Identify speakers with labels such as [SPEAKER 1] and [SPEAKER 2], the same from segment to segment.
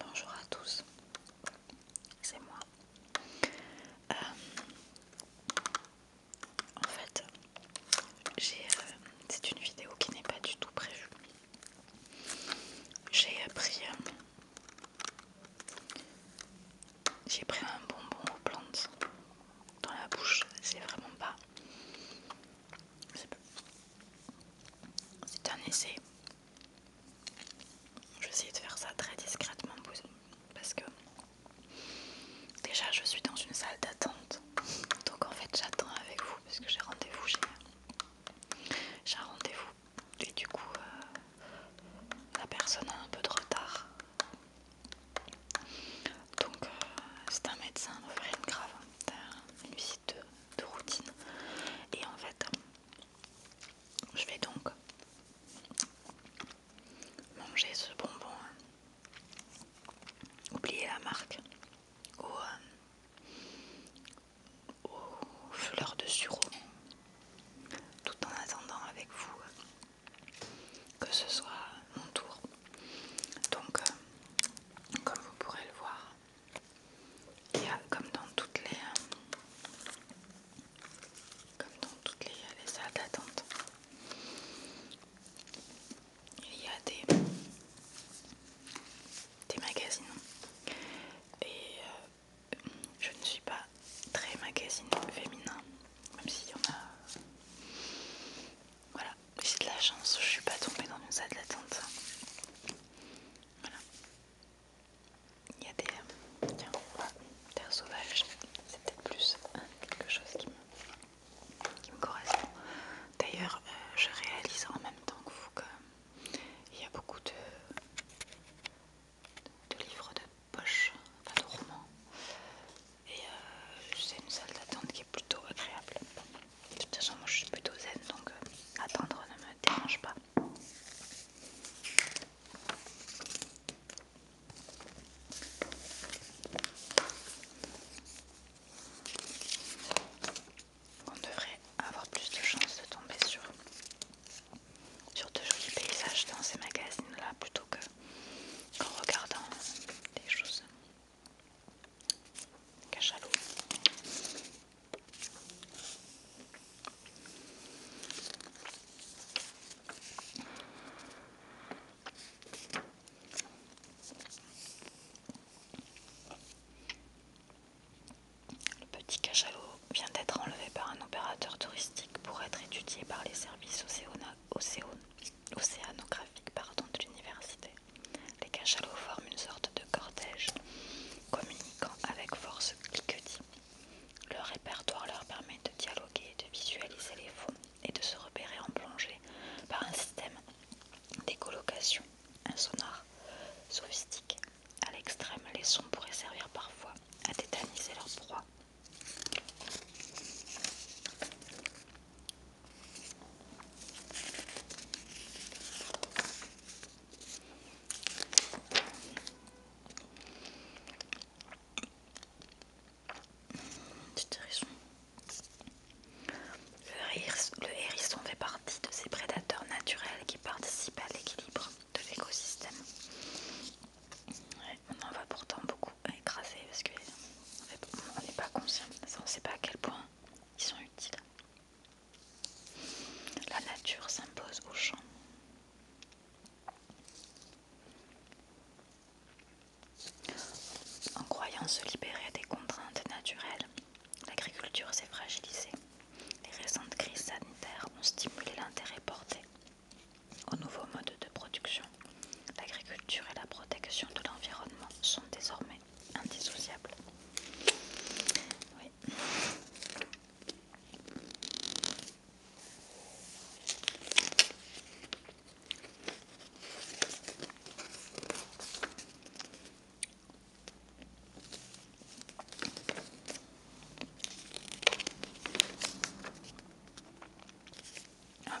[SPEAKER 1] Bonjour à tous, c'est moi. Euh, en fait, euh, c'est une vidéo qui n'est pas du tout prévue. J'ai euh, pris, j'ai pris un bonbon aux plantes dans la bouche, c'est vraiment pas. C'est un essai je vais essayer de faire ça très discrètement parce que déjà je suis dans une salle d'attente. Donc en fait j'attends avec vous parce que j'ai rendez-vous j'ai un rendez-vous et du coup euh, la personne a un peu de retard. Donc euh, c'est un médecin, une grave, une visite de routine. Et en fait, je vais donc manger ce bonbon, hein. oublier la marque, aux, euh, fleurs de sureau, tout en attendant avec vous que ce soit mon tour. Donc, euh, comme vous pourrez le voir, il y a, comme dans toutes les, euh, comme dans toutes les, salles d'attente, il y a des, des magazines. Et euh, je ne suis pas très magazine féminin, même s'il y en a. Voilà, j'ai de la chance, je suis pas tombée dans une salle d'attente. Voilà. Il y a des. Tiens, terre sauvages, c'est peut-être plus quelque chose qui me, correspond. D'ailleurs, euh, je réalise en même temps que vous qu'il y a beaucoup de, de livres de poche, enfin de romans. Et euh, c'est une salle d'attente qui est plutôt agréable. De toute façon, moi je suis plutôt zen donc euh, attendre ne me dérange pas. On devrait avoir plus de chances de tomber sur, sur de jolis paysages dans ces magazines là plutôt qu'en regardant des choses Cachalot. Le petit cachalot vient d'être enlevé par un opérateur touristique pour être étudié par les services océanographiques de l'université. Les cachalots forment une sorte de cortège communiquant avec force cliquetis. Leur répertoire leur permet de dialoguer, de visualiser les fonds et de se repérer en plongée par un système d'écolocation, un sonar sophistique. À l'extrême, les sons pourraient servir parfois à tétaniser leur proie. Le, hérisson fait partie de ces prédateurs naturels qui participent à l'équilibre de l'écosystème. on en va pourtant beaucoup écraser parce qu'on n'est pas conscient. on ne sait pas à quel point ils sont utiles. La nature s'impose aux champs. En croyant se libérer des contraintes naturelles, l'agriculture s'est fragilisée. Les récentes crises sanitaires ont stimulé l'intérêt porté aux nouveaux modes de production. L'agriculture et la protection de l'environnement sont désormais indissociable. Ah.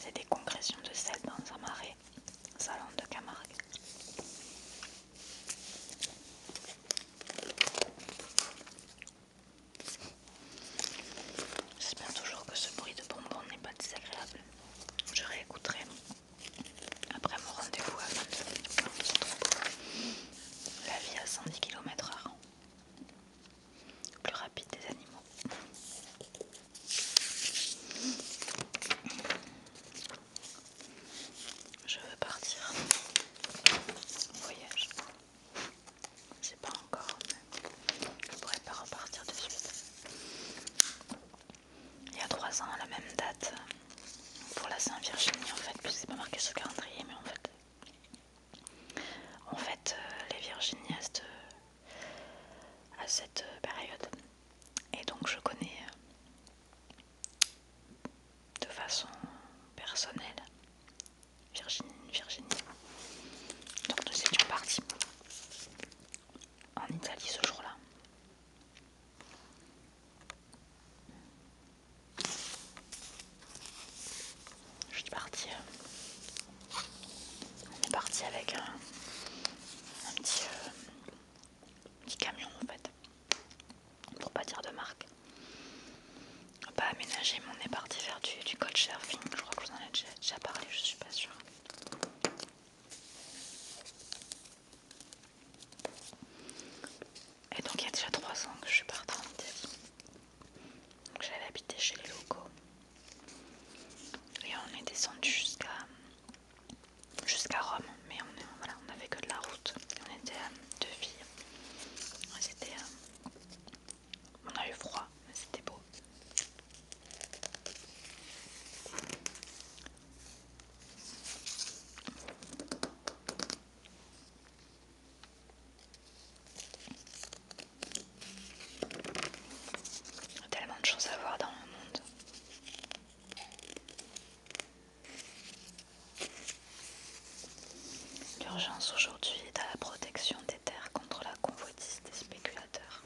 [SPEAKER 1] C'est des concrétions de sel dans un marais, salon de Camargue. J'espère toujours que ce bruit de bonbon n'est pas désagréable. Je réécouterai après mon rendez-vous à 20h, La vie à 110 km h Plus rapide des animaux. Je veux partir en voyage. Je sais pas encore, mais je pourrais pas repartir de suite il y a trois ans à la même date pour la Saint-Virginie en fait, puis c'est pas marqué sur calendrier, mais en fait, en fait euh, les Virginies euh, à cette, euh, période. Et donc je connais de façon personnelle Virginie, Virginie. Donc nous étions partis en Italie ce jour-là. Je suis partie. On est parti avec euh, un, petit, camion en fait. Pour pas dire de marque. On pas aménagé, mais on est parti faire du, coach surfing. Je crois que je vous en ai déjà, déjà parlé, je suis pas sûre. Et donc il y a déjà 3 ans que je suis partie en habiter J'avais habité chez les locaux. Et on est descendu jusqu'à jusqu'à Rome, mais on, n'avait on que de la route. On était à deux filles. on a eu froid, mais c'était beau. Tellement de choses à voir dans le monde. L'urgence aujourd'hui est à la protection des terres contre la convoitise des spéculateurs.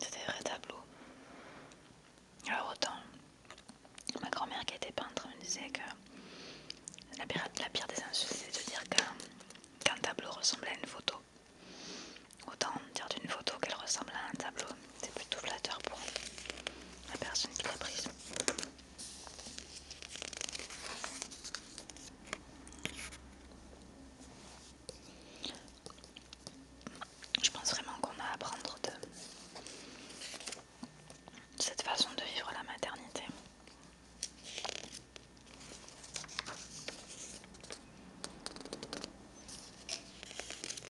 [SPEAKER 1] C'était vrai tableau. Alors autant, ma grand-mère qui était peintre me disait que la pire, la des insultes, c'est de dire qu'un tableau ressemble à une photo. Autant dire d'une photo qu'elle ressemble à un tableau, c'est plutôt flatteur pour la personne qui l'a prise. Je pense vraiment qu'on a à apprendre de cette façon de vivre la maternité.